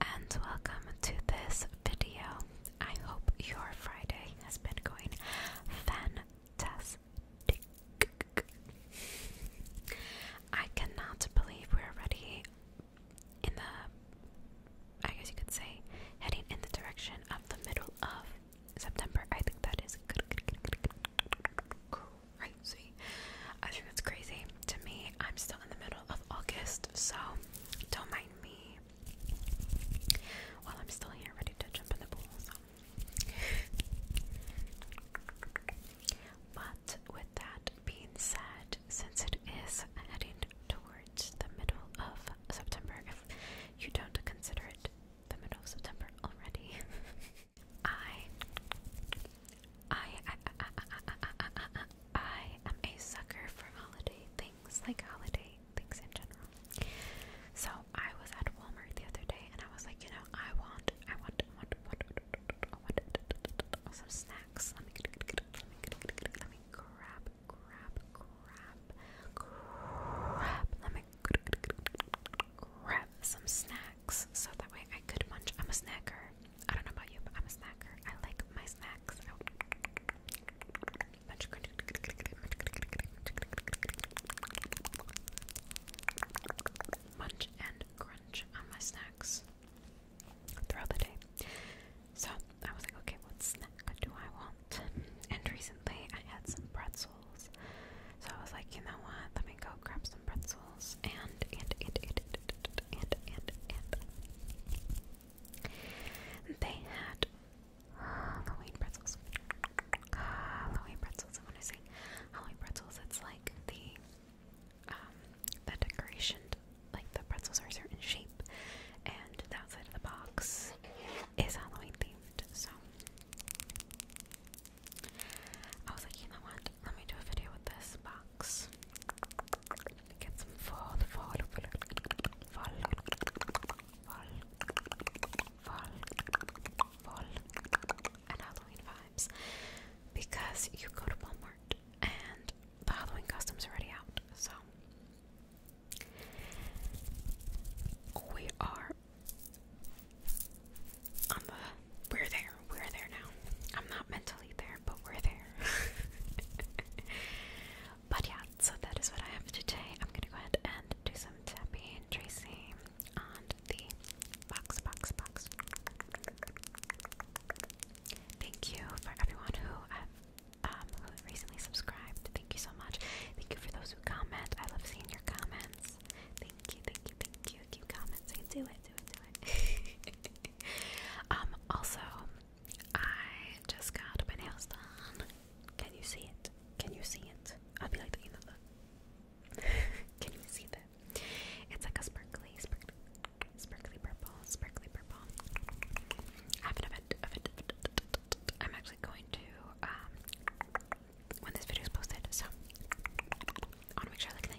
and welcome to this video. I hope your Friday has been going fantastic. I cannot believe we're already in the, I guess you could say, heading in the direction of the middle of September. I think that is crazy. I think that's crazy. To me, I'm still in the middle of August, so don't mind me while I'm still here ready to jump in the pool. But with that being said, since it is heading towards the middle of September, if you don't consider it the middle of September already, I, I, I am a sucker for holiday things, like holiday things in general. So I was at Walmart the other day, and I was like, you know, I want, I want, I want, I want, I want, some snacks. Let me, let me, let me grab, grab, grab, grab. Let me grab some snacks so that way I could munch. I'm a snacker. I don't know about you, but I'm a snacker. I like my snacks. Munch and crunch on my snacks throughout the day. So I was like, okay, what snack do I want? And recently I had some pretzels. So I was like, you know what? Let me go grab some pretzels and and and and and and and, they had Halloween pretzels. Halloween pretzels. And when I say Halloween pretzels, it's like the um, the decoration, like the pretzels are a certain shape, and the outside of the box is Halloween themed. So I was like, you know what? Let me do a video with this box. Get some fall, fall, fall, fall, fall, fall, and Halloween vibes because you go to Walmart and the Halloween costumes are already out. So we are we're there. We're there now. I'm not mentally there, but we're there. but yeah, so that is what I have today. I'm gonna go ahead and do some tapping tracing on the box, box, box. Thank you for everyone who um, um, have recently subscribed. Thank you so much. Thank you for those who comment. I love seeing your comments. Thank you, thank you, thank you keep commenting. Do it, do it, do it. Um, also, I just got my nails done. Can you see it? Can you see it? I'll be like, you know, the. Can you see that? It's like a sparkly, sparkly, sparkly purple, sparkly purple. I am actually going to, um, when this video is posted, so I want to make sure I look nice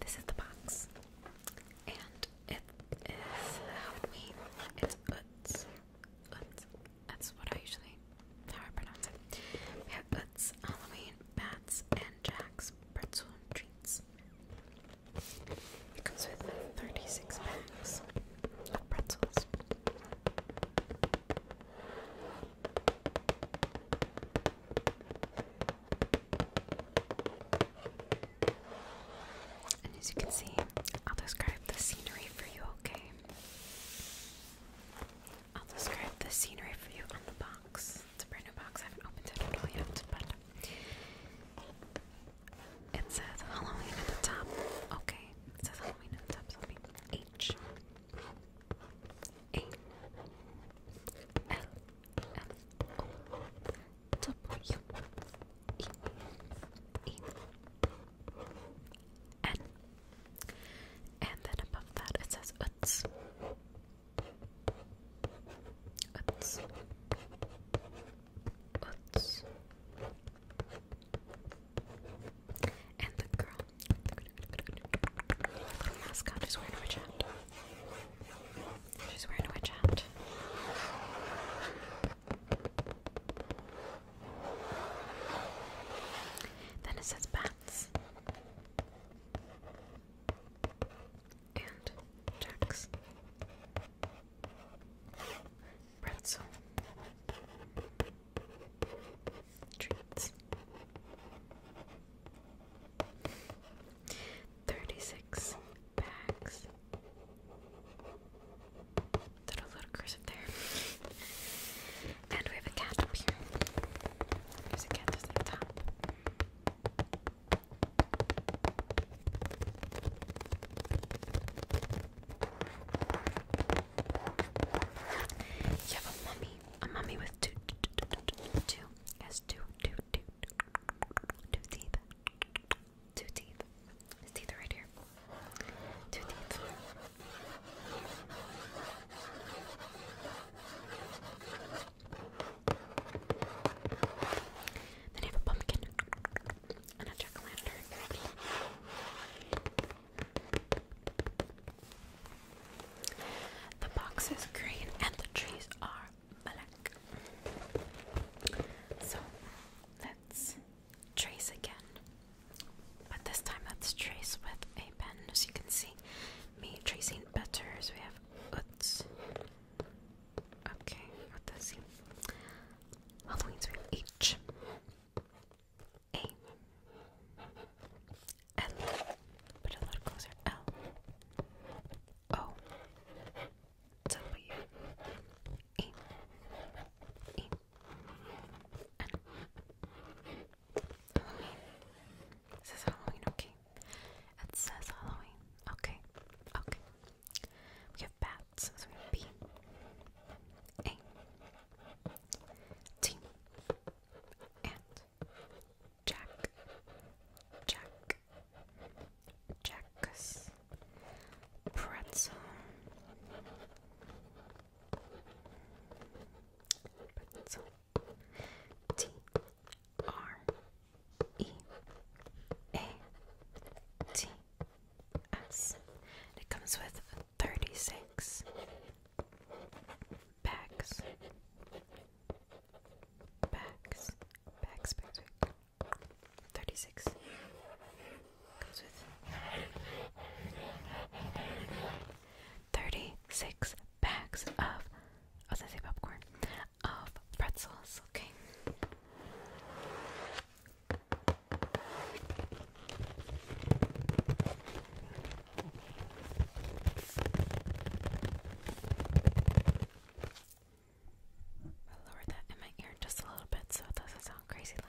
This is the box, and it is help It's Utz. Utz. That's what I usually how I pronounce it. We have Utz, Halloween, Bats, and Jack's pretzel treats. It comes with 36 packs of pretzels. And as you can see, I'll describe the scenery for you, okay? I'll describe the scenery for you on the box. It's a brand new box, I haven't opened it at all yet, but it says Halloween at the top. Okay, it says Halloween at the top, so H a L L O W E E N. And then above that it says Uts. Uts. Uts. And the girl our is wearing a witch hat. She's wearing a witch hat. Then it says bats. And Jack's pretzel treats. 36 bags. Did a little cursive there. and we have a cat up here. There's a cat just like that. You have a mummy, a mummy with two, two, has two, two, two, two teeth, two teeth. His teeth are right here. Two teeth. Then you have a pumpkin and a jack o' lantern. The box is green and the trees are black. So let's trace again. But this time let's trace with a pen. As you can see, me tracing better. So we have oots. Okay, what does he? Halloween's we have H. A L but a little closer L O W E E N It says Halloween, okay. It says Halloween. Okay. Okay. We have bats, so we have B A T and Jack, Jack, Jack's pretzel, pretzel, T R E A T S. it comes with thirty six Bags. Bags. Bags, bags, 36. Goes with 36 bags of, oh, was going say popcorn, of pretzels, okay. I'll that in my ear just a little bit so it doesn't sound crazy loud.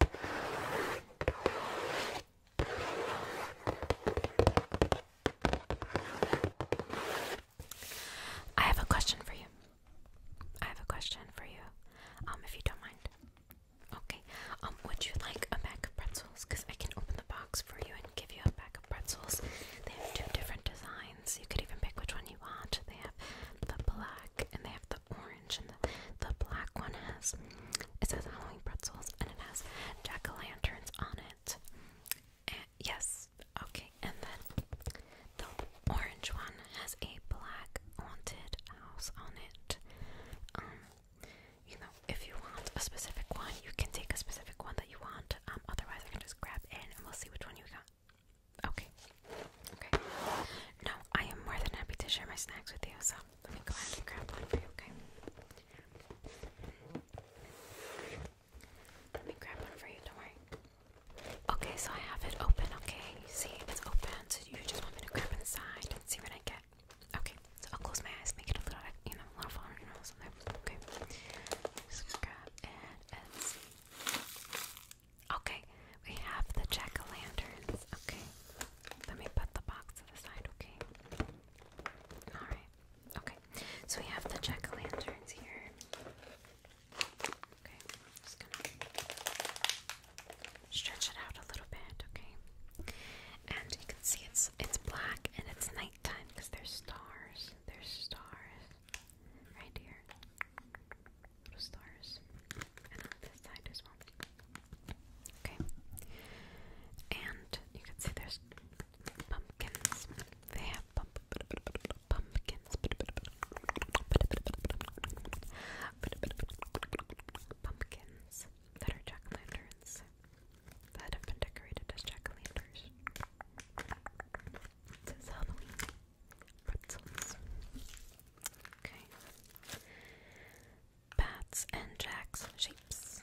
I have a question for you. I have a question for you. Um, if you don't mind. Okay. Um, would you like a bag of pretzels? Cause I can open the box for you and give you a bag of pretzels. They have two different designs. You could even pick which one you want. They have the black and they have the orange and the, black one has it says Halloween pretzels, and it has jack o' lanterns on it. And, eh, yes, okay, and then the orange one has a black haunted house on it. Um, you know, if you want a specific one, you can take a specific one that you want. Um, otherwise, I can just grab it and we'll see which one you got. Okay. Okay. No, I am more than happy to share my snacks with you, so let me go ahead and grab one for you, okay? Let me grab one for you, don't worry. Okay, so I have it open, okay? You see, it's open, so you just want me to grab inside and see what I get. Okay, so I'll close my eyes, make it a little, you know, a little Okay, grab and see. Okay, we have the jack o' lanterns. Okay, let me put the box to the side, okay? Alright, okay. So we have the jack o' lanterns here. Okay, I'm just gonna stretch it out a little bit, okay? And you can see it's it's black and it's nighttime because there's stars. There's stars right here little and on this side as well. Okay, and you can see there's pumpkins. They have pump pumpkins, pumpkins that are jack o' lanterns that have been decorated as jack o' lanterns. This is Halloween pretzels. Okay. Bats and jacks shapes.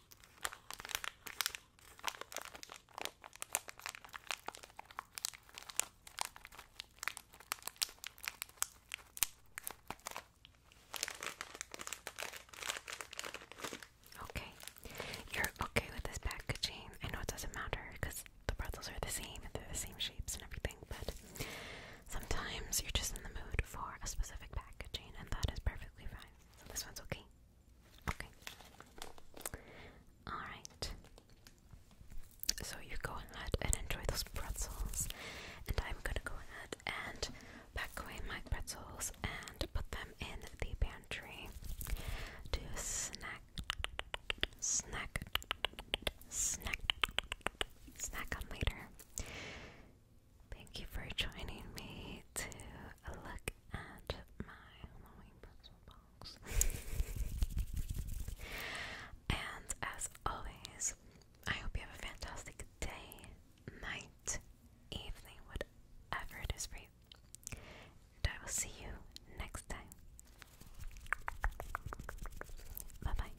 Okay, you're okay with this packaging. I know it doesn't matter because the pretzels are the same they're the same shapes and everything, but sometimes you're just in the mood for a specific packaging, and that is perfect perfectly fine. this one's okay. Okay. Alright. So you go ahead and enjoy those pretzels. And I'm gonna go ahead and pack away my pretzels and put them in the pantry to snack, snack, snack, snack on later. Thank you for joining me to look at my Halloween puzzle box. and as always, I hope you have a fantastic day, night, evening, whatever it is for you. And I will see you next time. Bye bye.